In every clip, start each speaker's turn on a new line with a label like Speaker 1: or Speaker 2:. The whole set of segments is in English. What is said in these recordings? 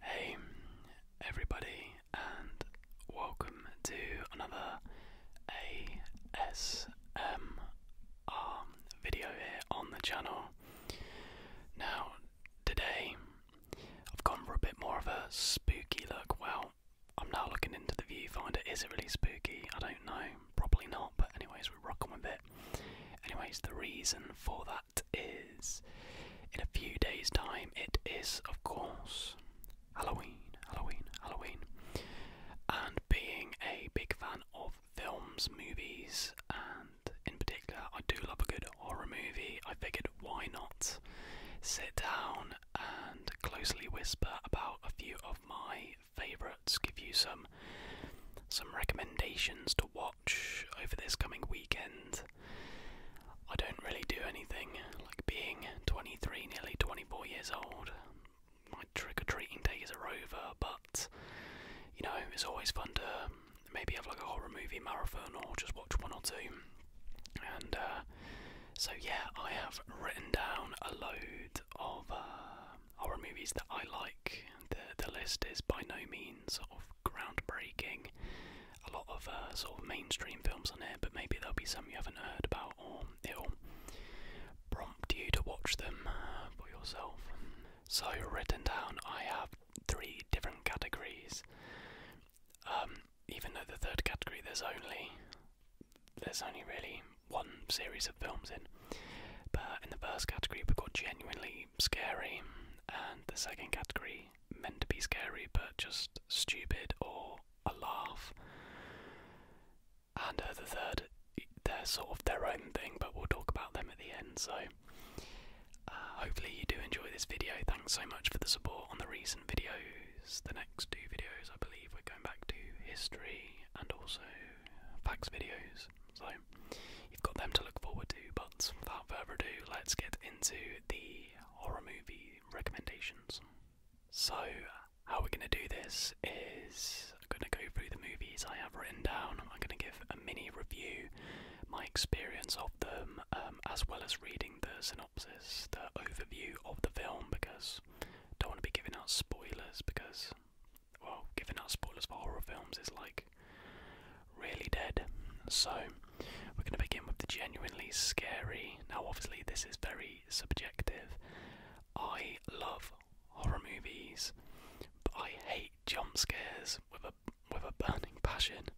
Speaker 1: Hey everybody and welcome to another ASM video here on the channel. Now today I've gone for a bit more of a spooky look. Well, I'm now looking into the viewfinder. Is it really spooky? I don't know. Probably not, but anyways we're rocking with it. Anyways, the reason for that is in a few days' time. It is, of course, Halloween, Halloween, Halloween. And being a big fan of films, movies, and in particular, I do love a good horror movie, I figured why not sit down and closely whisper about a few of my favourites, give you some some recommendations to watch over this coming weekend. I don't really do anything, like being 23, nearly 24 years old. My trick or treating days are over, but you know, it's always fun to maybe have like a horror movie marathon or just watch one or two. And uh, so, yeah, I have written down a load of uh, horror movies that I like. The, the list is by no means of groundbreaking. A lot of uh, sort of mainstream films on here, but maybe there'll be some you haven't heard about, or it'll prompt you to watch them uh, for yourself. So written down, I have three different categories. Um, even though the third category there's only there's only really one series of films in. But in the first category we've got genuinely scary, and the second category meant to be scary but just stupid or a laugh. And uh, the third, they're sort of their own thing, but we'll talk about them at the end. So uh, hopefully you do enjoy this video. Thanks so much for the support on the recent videos. The next two videos, I believe, we're going back to history and also facts videos. So you've got them to look forward to. But without further
Speaker 2: ado, let's get into the horror movie recommendations. So, how we're going to do this is I'm going to go through the movies I have written down. I'm going to give a mini review, my experience of them, um, as well as
Speaker 1: reading the synopsis, the overview of the film, because I don't want to be giving out spoilers because, well, giving out spoilers for horror films is like really dead. So we're going to begin with the genuinely scary. Now, obviously, this is very subjective. I love horror movies, but I hate jump scares with a with a burning passion.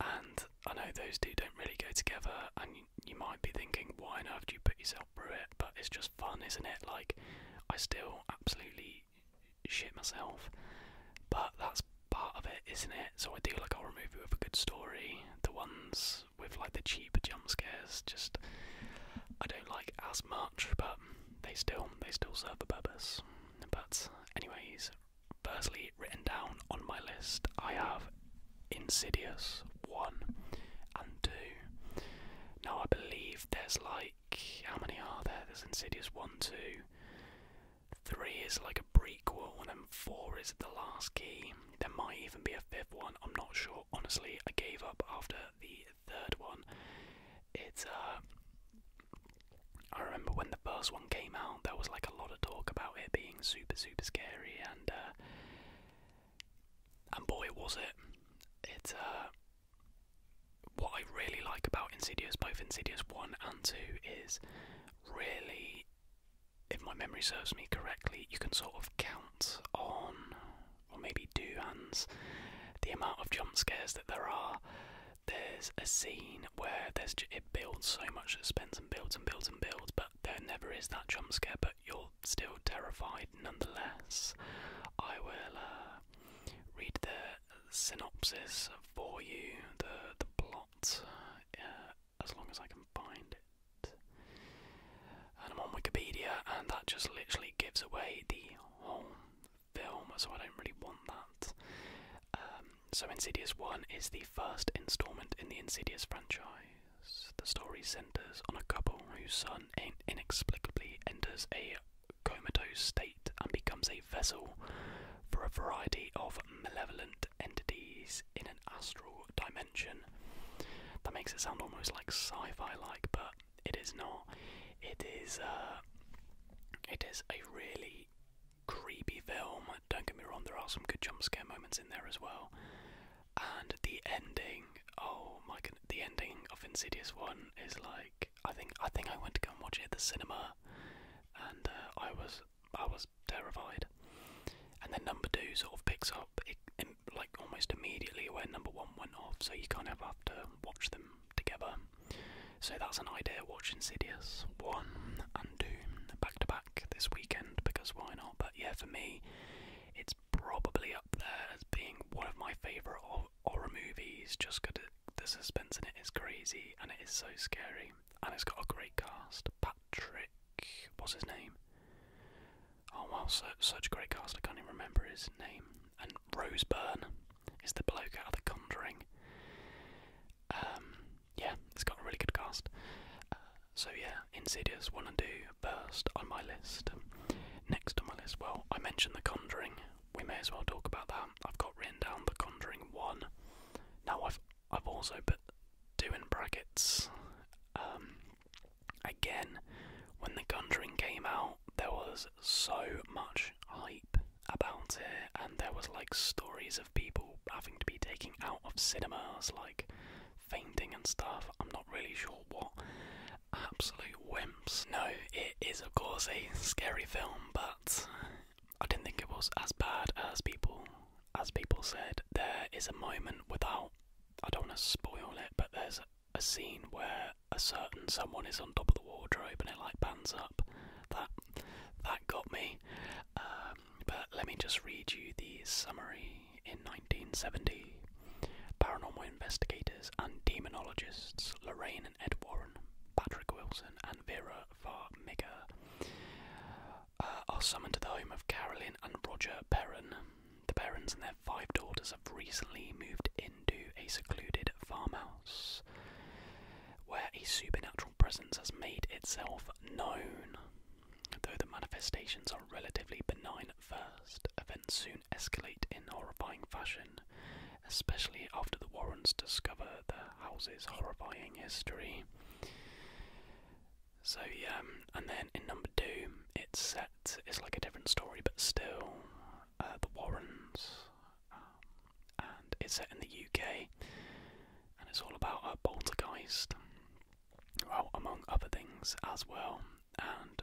Speaker 1: And I know those two don't really go together. And you, might be thinking, why on earth you put yourself through it? But it's just fun, isn't it? Like I still absolutely shit myself. But that's part of it, isn't it? So I do like horror movie with a good story. The ones with like the cheaper jump scares, just I don't like as much, but they still they still serve a purpose. But anyways, firstly written down on my list I have Insidious one and two. Now I believe there's like how many are there? There's Insidious one, two. Three is like a prequel, and then four is the last key. There might even be a fifth one. I'm not sure. Honestly, I gave up after the third one. It's uh, I remember when the first one came out, there was like a lot of talk about it being super, super scary, and uh, and boy, was it! It's uh, what I really like about Insidious, both Insidious one and two, is really, if my memory serves me correctly, you can sort of count on, or maybe do hands, the amount of jump scares that there are. There's a scene where there's it builds so much suspense and builds and builds and builds, but there never is that jump scare. But you're still terrified nonetheless. I will uh, read the synopsis for you, the the plot, uh, as long as I can find it. And I'm on Wikipedia, and that just literally gives away the whole film, so I don't really want that. Um, so, Insidious 1 is the first installment in the Insidious franchise. The story centers on a couple whose son inexplicably enters a comatose state and becomes a vessel for a variety of malevolent entities in an astral dimension. That makes it sound almost like sci-fi like, but it is not. It is uh, it is a really creepy film. Don't get me wrong, there are some good jump scare moments in there as well. And the ending, oh my god, the ending of Insidious One is like I think I think I went to go and watch it at the cinema and uh, I was I was terrified. And then number two sort of picks up it, like almost immediately where number one went off, so you kind of have to watch them together. So that's an idea. Watch Insidious one and two back to back this weekend because why not? But yeah, for me, it's probably up there as being one of my favourite horror movies, just because the suspense in it is crazy and it is so scary. And it's got a great cast. Patrick, what's his name? Oh wow, so, such a great cast, I can't even remember his name. And Rose Byrne is the bloke out of The Conjuring. Um, yeah, it's got a really good cast. Uh, so yeah, Insidious 1 and 2 burst on my list. Next on my list, well, I mentioned The Conjuring, we may as well talk about that. I've got written down The Conjuring 1. Now, I've, I've also put 2 in brackets. Um, again, when The Conjuring came out, there was so much hype about it, and there was like stories of people having to be taken out of cinemas, like fainting and stuff. I'm not really sure what. Absolute wimps. No, it is of course a scary film, but I didn't think it was as bad as people as people said. There is a moment without I don't want to spoil it, but there's a scene where a certain someone is on top of the wardrobe and it like pans up. That that got me. Um, but let me just read you the summary. In 1970, paranormal investigators and demonologists Lorraine Ed Warren, Patrick Wilson, and Vera Farmiga uh, are summoned to the home of Carolyn and Roger Perrin. The Perrins and their five daughters have recently moved into a secluded farmhouse where a supernatural presence has made itself known. Though the manifestations are relatively benign at first, events soon escalate in horrifying fashion especially after the Warrens discover the house's horrifying history. So yeah, um, and then in number two, it's set. It's like a different story, but still, uh, the Warrens, um, and it's set in the UK, and it's all about a poltergeist, well, among other things as well. And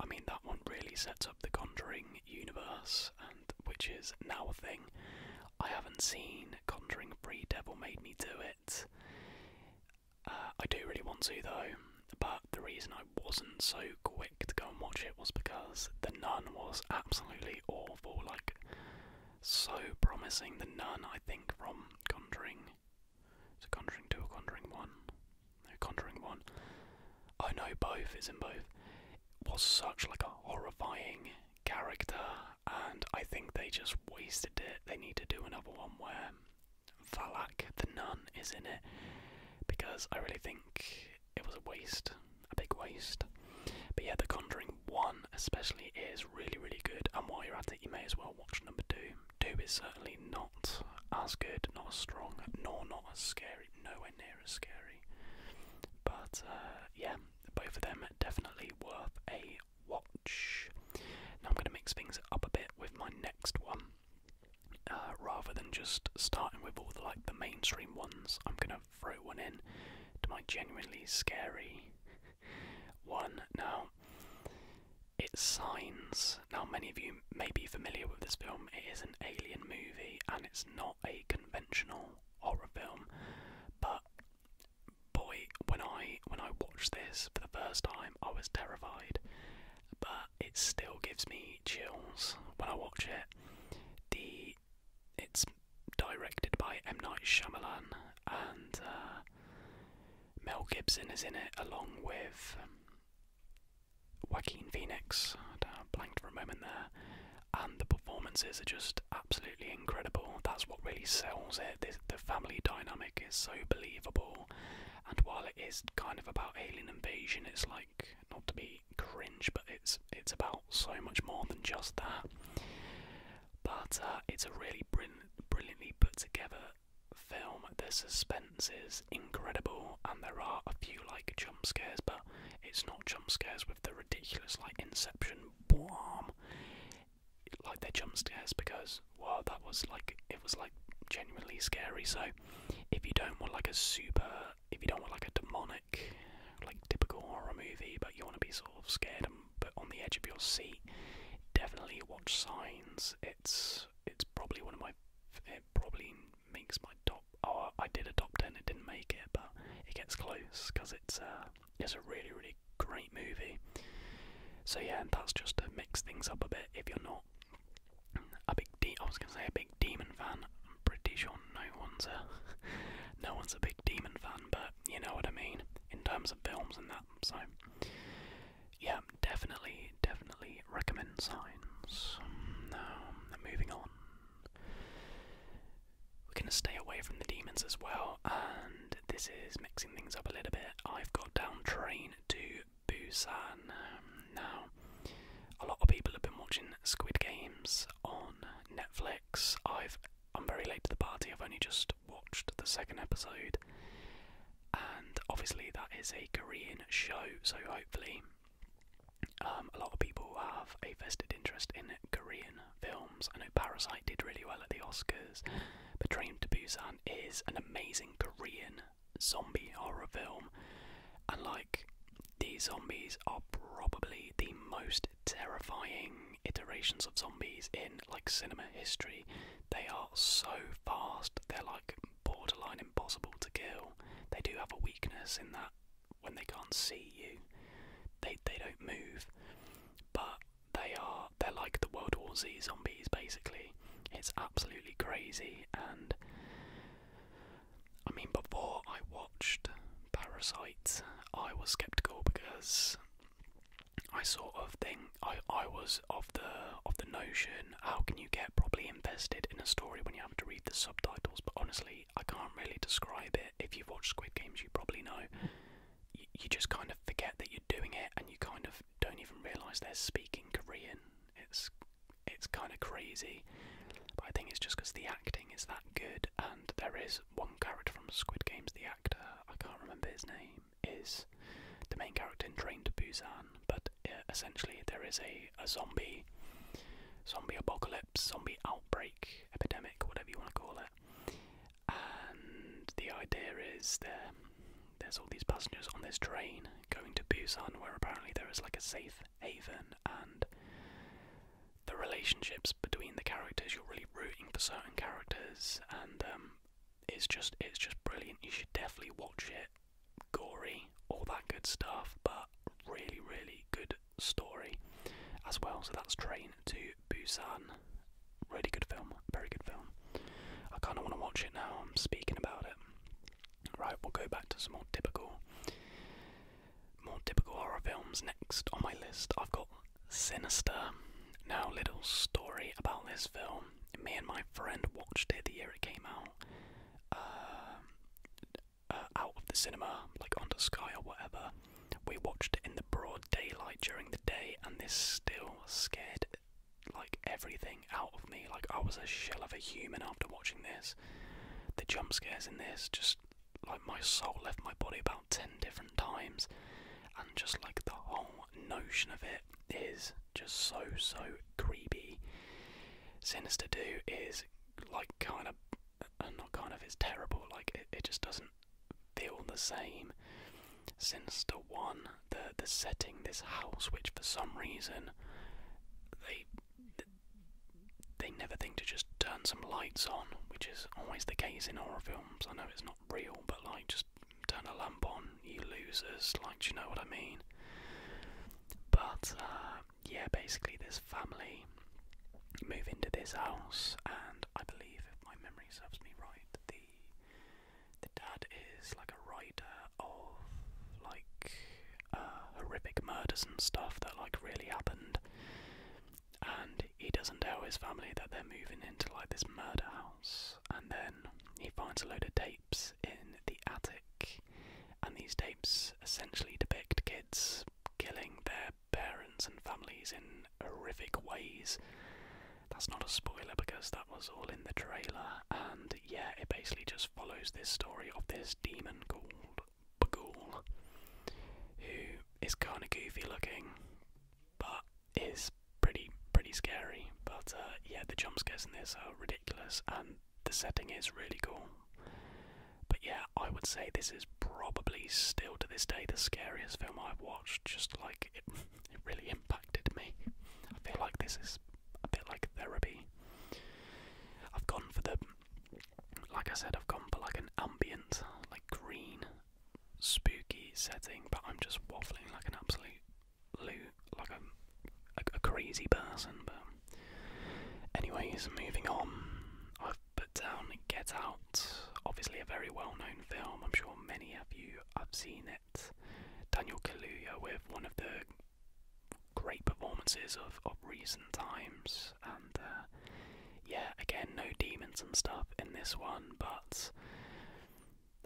Speaker 1: I mean, that one really sets up the Conjuring universe which is now a thing. I haven't seen Conjuring Free Devil Made Me Do
Speaker 2: It. Uh, I do really want to though, but the reason I wasn't so quick to go and watch it was because The Nun was absolutely awful. Like, so promising. The Nun, I think, from Conjuring. Is it Conjuring 2 or Conjuring 1? No, Conjuring 1.
Speaker 1: I know both, it's in both. It was such like a horrifying character, and I think they just wasted it. They need to do another one where Valak, the nun, is in it because I really think it was a waste, a big waste. But yeah, The Conjuring 1 especially is really, really good, and while you're at it, you may as well watch number 2. 2 is certainly not
Speaker 2: as good, not as strong, nor not as scary, nowhere near as scary. But uh, yeah, both of them definitely
Speaker 1: worth a watch. Now I'm going to mix things up a bit with my next one. Uh, rather than just starting with all the like the mainstream ones, I'm gonna throw one in to my genuinely scary one. Now, it's Signs. Now, many of you may be familiar with this film. It is an alien movie, and it's not a conventional horror film. But boy, when I when I watched this for the first time, I was terrified. But it still gives me chills when I watch it. The it's directed by M Night Shyamalan and uh, Mel Gibson is in it along with. Um, Joaquin Phoenix, I blanked for a moment there, and the performances are just absolutely incredible. That's what really sells it. the family dynamic is so believable, and while it is kind of about alien invasion, it's like not to be cringe, but it's it's about so much more than just that. But uh, it's a really brilliantly put together film. The suspense is incredible, and there are a few like jump scares, but it's not jump scares with the ridiculous like Inception boom, like they're jump scares because wow, that was like it was like genuinely scary. So if you don't want like a super, if you don't want like a demonic, like typical horror movie, but you want to be sort of scared and but on the edge of your seat, definitely watch Signs. It's it's probably one of my it probably makes my top. Oh, I did a top ten. It didn't make it, but it gets close because it's uh, it's a really really great movie. So yeah, and that's just to mix things up a bit. If you're not a big de I was gonna say a big demon fan. I'm pretty sure no one's a no one's a big demon fan, but you know what I mean in terms of films and that. So yeah, definitely definitely recommend Signs. Now moving on. We're going to stay away from the demons as well, and this is mixing things up a little bit. I've got down train to Busan. Um, now, a lot of people have been watching Squid Games on Netflix. I've I'm very late to the party. I've only just watched the second episode, and obviously that is a Korean show, so hopefully um, a lot of people have a vested interest in Korean films. I know Parasite did really well at the Oscars, but Train to Busan is an amazing Korean zombie horror film, and like these zombies are probably the most terrifying iterations of zombies in like cinema history. They are so fast; they're like borderline impossible to kill.
Speaker 2: They do have a weakness in that when they can't see you, they they don't move, but they are they're like the World War Z zombies basically.
Speaker 1: It's absolutely crazy, and I mean before I watched Parasite, I was skeptical because I sort of think I, I was of the of the notion how can you get properly invested in a story when you have to read the subtitles? But honestly, I can't really describe it. If you've watched Squid Games, you probably know. You, just kind of forget that you're doing it, and you kind of don't even realise they're speaking Korean. It's it's kind of crazy, but I think it's just because the acting is that good, and there is one character from Squid Games, the actor I can't remember his name is the main character in Train to Busan, but essentially there is a a zombie zombie apocalypse, zombie outbreak epidemic, whatever you want to call it.
Speaker 2: And the idea is there's all these passengers on this train going to Busan, where apparently there is like a safe
Speaker 1: haven, and the relationships between the characters. You're really rooting for certain characters, and um, it's just it's just brilliant. You should definitely watch it. Gory, all that good stuff, but really, really good story as well. So that's Train to Busan. Really good film, very good film. I kind of want to watch it now. I'm speaking about it. Right, we'll go back to some more typical, more typical horror films next on my list. I've got Sinister. Now, little story about this film. Me and my friend watched it the year it came out. Uh, uh, out of the cinema, like onto Sky or whatever. We watched it in the broad daylight during the day, and this still scared like everything out of me. Like I was a shell of a human after watching this. The jump scares in this just like my soul left my body about 10 different times and just like the whole notion of it is just so so creepy sinister Do is like kind of and not kind of it's terrible. Like it, it just doesn't feel the same since the one the the setting this house, which for some reason they they never think to just turn some lights on, which is always the case in horror films. I know it's not real, but like just turn a lamp on, you losers. Like, do you know what I mean? But uh, yeah, basically this family move into this house, and I believe, if my memory serves me right, the the dad is like a writer of like uh, horrific murders and stuff that like really happened, and he doesn't tell his family that they're moving into like this murder house, and then he finds a load of tapes in the attic, and these tapes essentially depict kids killing their parents and families in horrific ways. That's not a spoiler because that was all in the trailer, and yeah, it basically just follows this story of this demon called Bagul, who is kind of goofy looking, but is pretty pretty scary. But uh, yeah, the jump scares in this are ridiculous, and the setting is really cool. But yeah, I would say this is probably still to this day the scariest film I've watched. Just like it, it really impacted me. I feel like this is a bit like therapy. I've gone for the, like I said, I've gone for like an ambient, like green, spooky setting, but I'm just waffling like an absolute loo, like a, a, crazy person. But, anyways, moving on. I I've put down Get Out, obviously a very well known film. I'm sure many of you have seen it. Daniel Kaluuya with one of the great performances of, of recent times, and uh, yeah, again, no demons and stuff in this one, but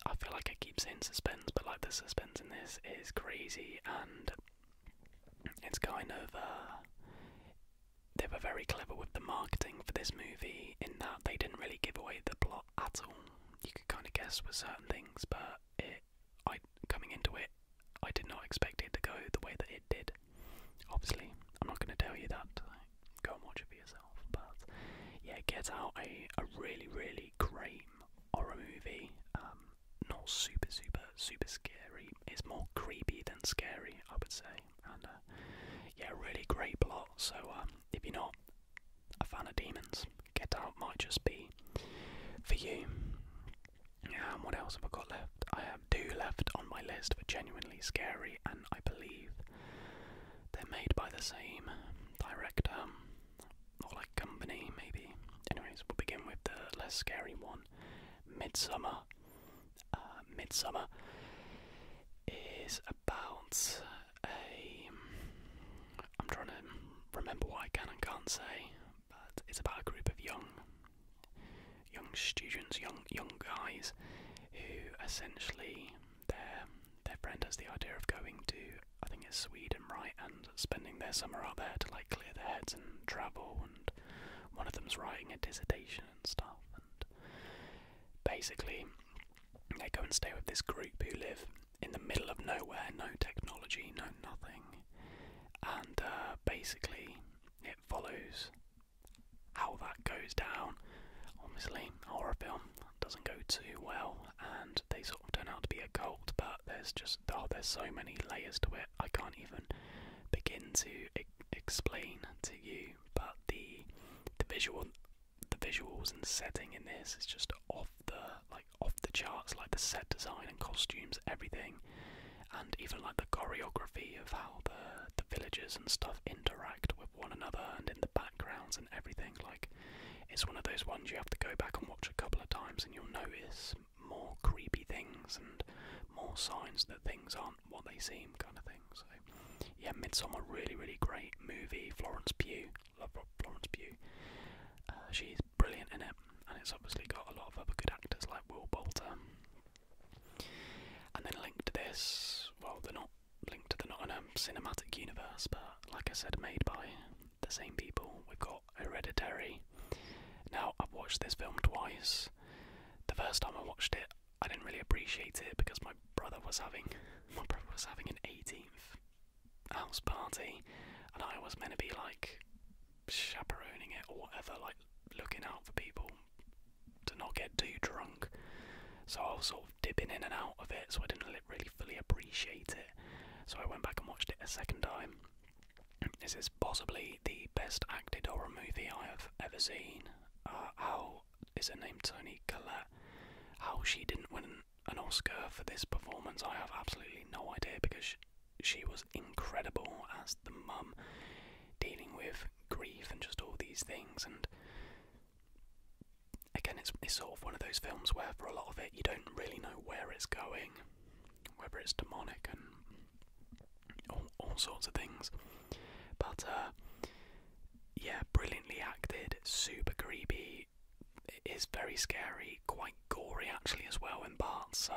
Speaker 1: I feel like it keeps in suspense, but like the suspense in this is crazy and it's going over. Uh, they were very clever with the marketing for this movie in that they didn't really give away the plot at all. You could kind of guess with certain things, but it, I coming into it, I did not expect it to go the way that it did. Obviously, I'm not going to tell you that. Go and watch it for yourself. But yeah, Get Out a a really really great horror movie. Um, not super super super scary. It's more creepy than scary, I would say. And uh, yeah, really great plot. So um, if you're not a fan of demons, Get Out might just be for you. and what else have I got left? I have two left on my list for genuinely scary, and I believe they're made by the same director or like company, maybe. Anyways, we'll begin with the less scary one, Midsummer. Uh, midsummer is about a. I'm trying to remember what I can and can't say, but it's about a group of young, young students, young young guys, who essentially their their friend has the idea of going to I think it's Sweden, right, and spending their summer out there to like clear their heads and travel and one of them's writing a dissertation and stuff, and basically they go and stay with this group who live in the middle of nowhere, no technology, no nothing, and uh, basically it follows how that goes down. Obviously, horror film doesn't go too well, and they sort of turn out to be a cult. But there's just oh, there's so many layers to it. I can't even begin to explain to you, but the the visual the visuals and setting in this is just off the like off the charts, like the set design and costumes, everything, and even like the choreography of how the the villagers and stuff interact with one another and in the backgrounds and everything. Like it's one of those ones you have to go back and watch a couple of times and you'll notice more creepy things and more signs that things aren't what they seem, kind of thing. So, yeah, Midsummer, really, really great movie. Florence Pugh, love Florence Pugh. Uh, she's brilliant in it, and it's obviously got a lot of other good actors like Will Bolter. And then linked to this, well, they're not linked to the Nottingham cinematic universe, but like I said, made by the same people. We've got Hereditary. Now, I've watched this film twice the first time I watched it, I didn't really appreciate it because my brother was having my brother was having an 18th house party, and I was meant to be like chaperoning it or whatever, like looking out for people to not get too drunk. So I was sort of dipping in and out of it, so I didn't really fully appreciate it. So I went back and watched it a second time, this is possibly the best acted horror movie I have ever seen. Uh, how is her name Tony Collette? How she didn't win an Oscar for this performance, I have absolutely no idea because she, was incredible as the mum dealing with grief and just all these things. And again, it's sort of one of those films where for a lot of it you don't really know where it's going, whether it's demonic and all, sorts of things. But uh, yeah, brilliantly acted, super creepy. It is very scary, quite gory actually as well in parts. So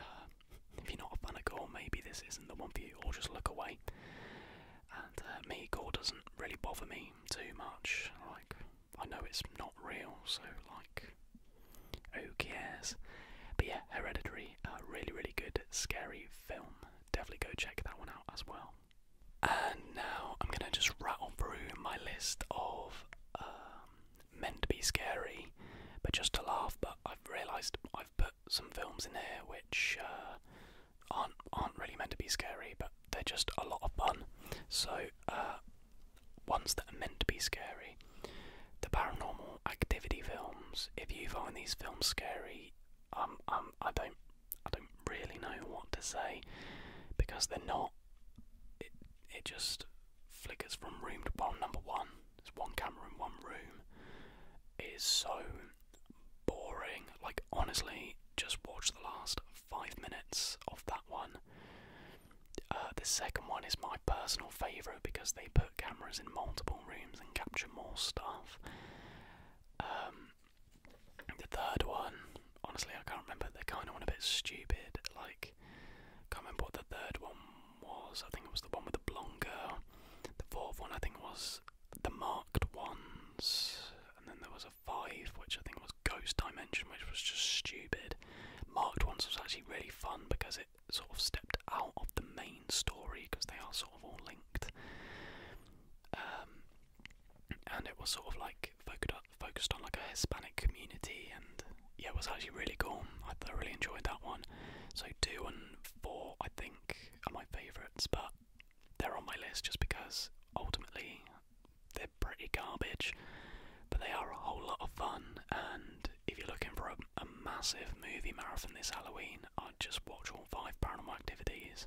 Speaker 1: uh, if you're not a fan of gore, maybe this isn't the one for you, or just look away. And uh, me, gore doesn't really bother me too much. Like I know it's not real, so like who cares? But yeah, Hereditary, a uh, really, really good, scary film. Definitely go check
Speaker 2: that one out as well. And now I'm gonna just rattle through my list of um, meant to be scary, but just to laugh. But I've realised I've put some films in here which uh, aren't aren't really meant to be scary, but they're just a lot of fun. So uh, ones that are meant to be scary, the paranormal activity films. If you find these films scary, um, um,
Speaker 1: I don't, I don't really know what to say because they're not. It, it just flickers from room to well, number one. there's one camera in one room. It is so boring. Like honestly, just watch the last five minutes of that one. Uh, the second one is my personal favourite because they put cameras in multiple rooms and capture more stuff. Um, the third one, honestly, I can't remember. They kind of went a bit stupid. Like, I can't remember what the third one was. I think it was the one with the blonde girl. The fourth one, I think, was the marked ones. And then there was a five, which I think was Ghost Dimension, which was just stupid. Marked ones was actually really fun because it sort of stepped out of the main story because they are sort of all linked. Um, and it was sort of like focused on like a Hispanic community, and yeah, it was actually really cool. I thoroughly enjoyed that one. So two and four, I think, are my favourites, but they're on my list just because ultimately they're pretty garbage, but they are a whole lot of fun. And if you're looking for a a massive movie marathon this Halloween, I'd just watch all five paranormal activities.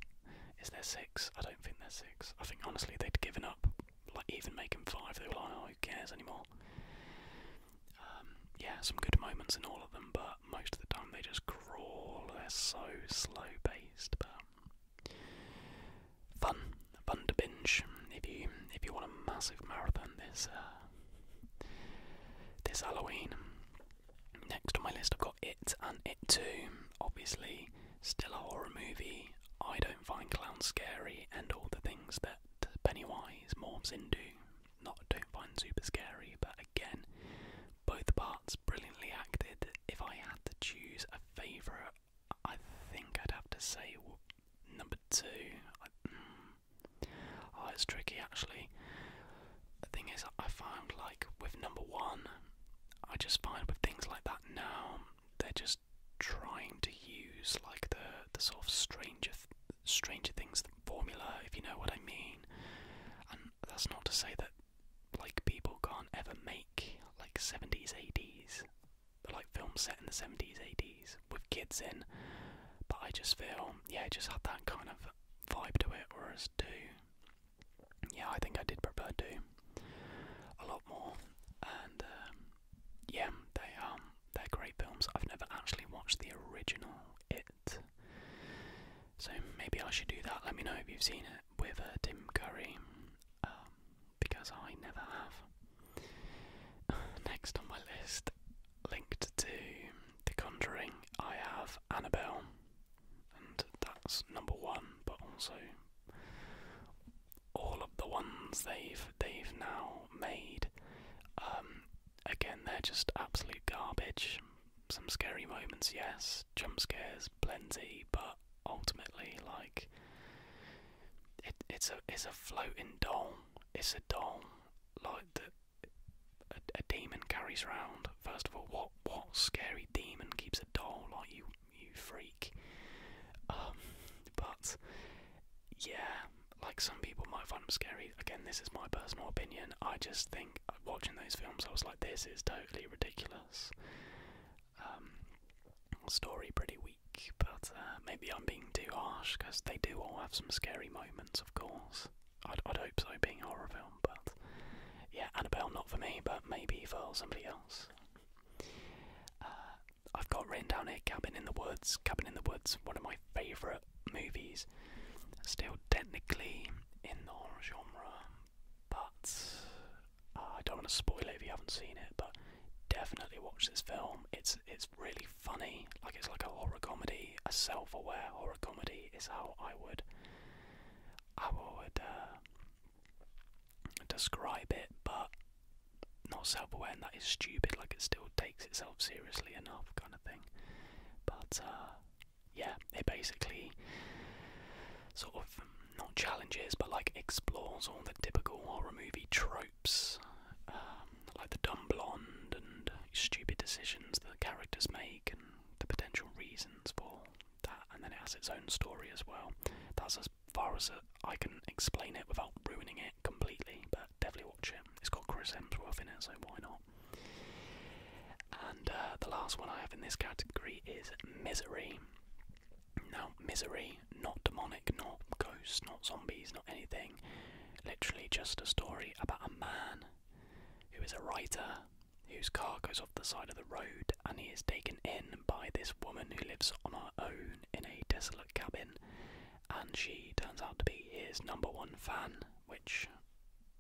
Speaker 1: Is there six? I don't think there's six. I think honestly they'd given up. Like even making five, they were like, oh, who cares anymore? Um, yeah, some good moments in all of them, but most of the time they just crawl. They're so slow paced, but fun, fun to binge. If you if you want a massive marathon, there's uh, this Halloween. Next on my list, I've got It and It Too. Obviously, still a horror movie. I don't find clowns scary, and all the things that Pennywise morphs into, not don't find super scary. But again, both parts brilliantly acted. If I had to choose a favourite, I think I'd have to say number two. Hmm. Oh, it's tricky actually. The thing is, I found like with number one, I just find with things like that now, they're just trying to use like the the sort of stranger Stranger Things formula, if you know what I mean. And that's not to say that like people can't ever make like 70s, 80s, like films set in the 70s, 80s with kids in, but I just feel, yeah, it just had that kind of vibe to it, whereas 2, yeah, I think I did prefer 2 a lot more, and um, yeah, they are, um, they're great films. I've never actually watched the original It, so maybe I should do that. Let me know if you've seen it with uh, Tim Curry, um, because I never have. Next on my list linked to The Conjuring, I have Annabelle, and that's number one. But also, all of the ones they've they've now made, um, again, they're just absolute garbage. Some scary moments, yes. Jump scares, plenty, but ultimately, like,
Speaker 2: it, it's a it's a floating doll. It's a doll like that a, demon carries around. First of all, what what scary demon keeps a doll like you you freak? Um, but yeah, like some people might find them scary. Again, this is my personal opinion. I just think uh, watching those films,
Speaker 1: I was like, this is totally ridiculous. Um, story pretty weak, but uh, maybe I'm being too harsh because they do all have some scary moments, of course. I'd, hope so, being a horror film, but yeah, Annabelle not for me, but maybe for somebody else. Uh, I've got Rain down here Cabin in the Woods. Cabin in the Woods, one of my favourite movies. Still technically in the horror genre, but uh, I don't want to spoil it if you haven't seen it, but definitely watch this film. It's, it's really funny. Like it's like a horror comedy, a self-aware horror comedy is how I would, I would uh, describe it, but not self-aware and that is stupid. Like it still takes itself seriously enough, kind of thing. But uh, yeah, it basically sort of not challenges, but like explores all the typical horror movie trope. Um, like the dumb blonde and stupid decisions that the characters make and the potential reasons for that, and then it has its own story as well. That's as far as I can explain it without ruining it completely, but definitely watch it. It's got Chris Hemsworth in it, so why not? And uh, the last one I have in this category is Misery. Now, Misery, not demonic, not ghosts, not zombies, not anything, literally just a story about a man who is a writer whose car goes off the side of the road and he is taken in by this woman who lives on her own in a desolate cabin and she turns out to be his number one fan which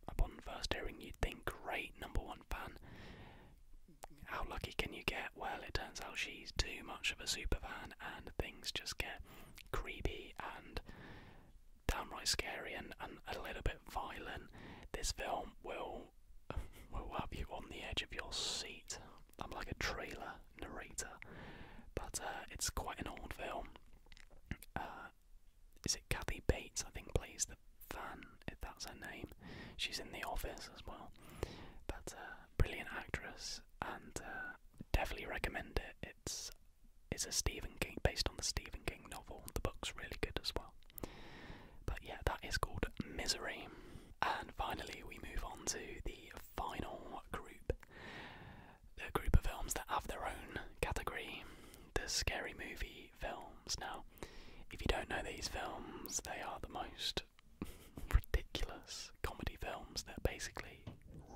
Speaker 1: upon first hearing you'd think great number one fan how lucky can you get well it turns out she's too much of a super fan and things just get creepy and downright scary and, and a little bit violent. This film will will have you on the edge of your seat. I'm like a trailer narrator, but uh, it's quite an old film. Uh, is it Kathy Bates? I think plays the fan, if that's her name. She's in The Office as well, but uh, brilliant actress and uh, definitely recommend it. It's it's a Stephen King based on the Stephen King novel. The book's really good as well. But yeah, that is called Misery. And finally, we move on to the final group, the group of films that have their own category, the scary movie films. Now, if you don't know these films, they are the most ridiculous comedy films that basically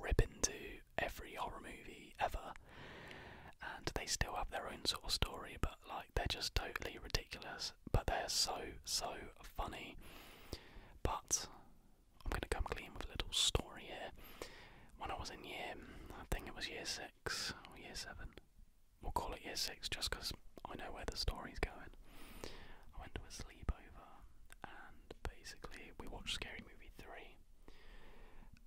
Speaker 1: rip into every horror movie ever, and they still have their own sort of story, but like they're just totally ridiculous. But they're so so funny. But I'm gonna come clean with a little story here. When I was in year, I think it was year six or year seven. We'll call it year six just because I know where the story's going. I went to a sleep and basically we watched Scary Movie three.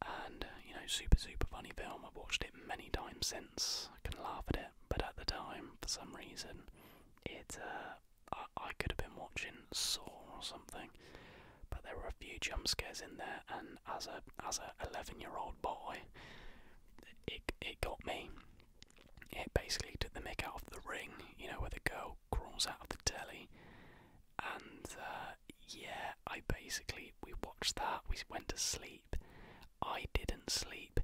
Speaker 1: And uh, you know, super super funny film. I've watched it many times since. I can laugh at it, but at the time, for some reason, it uh, I, could have been watching Saw or something. But there were a few jump scares in there, and as a as a 11 year old boy, it it got me. It basically took the mic out of the ring, you know, where the girl dog crawls out of the telly, and uh, yeah, I basically we watched that. We went to sleep. I didn't sleep.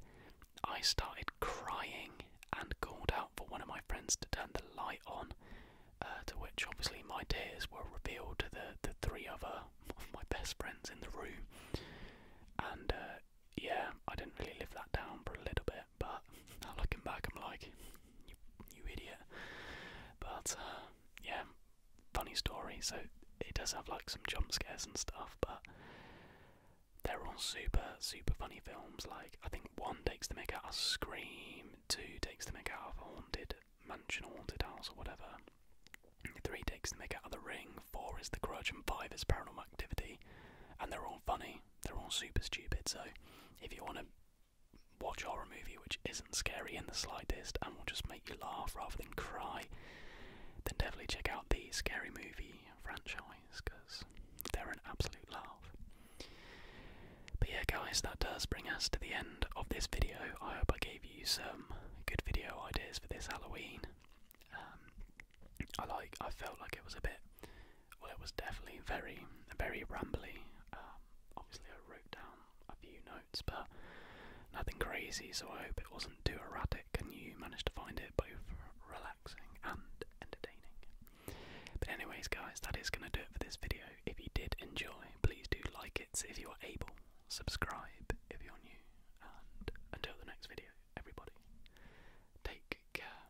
Speaker 1: I started crying and called out for one of my friends to turn the light on. Uh, to which obviously my tears were revealed to the, the three other of uh, my best friends in the room. And uh, yeah, I didn't really live that down for a little bit. But looking back, I'm like,
Speaker 2: you, idiot. But uh, yeah, funny story. So it does have like some jump scares and stuff, but they're all super, super funny
Speaker 1: films. Like I think one takes the make out of Scream, two takes the make out of a Haunted Mansion, Haunted House, or whatever. Three takes to make out of The Ring. Four is The Grudge, and five is Paranormal Activity. And they're all funny. They're all super stupid. So if you want to watch horror movie which isn't scary in the slightest and will just make you laugh rather than cry, then definitely check out the Scary Movie franchise because they're an absolute laugh. But yeah, guys, that does bring us to the end of this video. I hope I gave you some good video ideas for this Halloween. Um, I like. I felt like it was a bit well, it was definitely very, very rambly. Um, obviously, I wrote
Speaker 2: down a few notes, but nothing crazy, so I hope it wasn't too erratic and you managed to find it both relaxing and entertaining. But, anyways, guys, that is going to do it for this video. If you did enjoy, please do like it if you are able, subscribe if you're new, and until the next video, everybody, take care.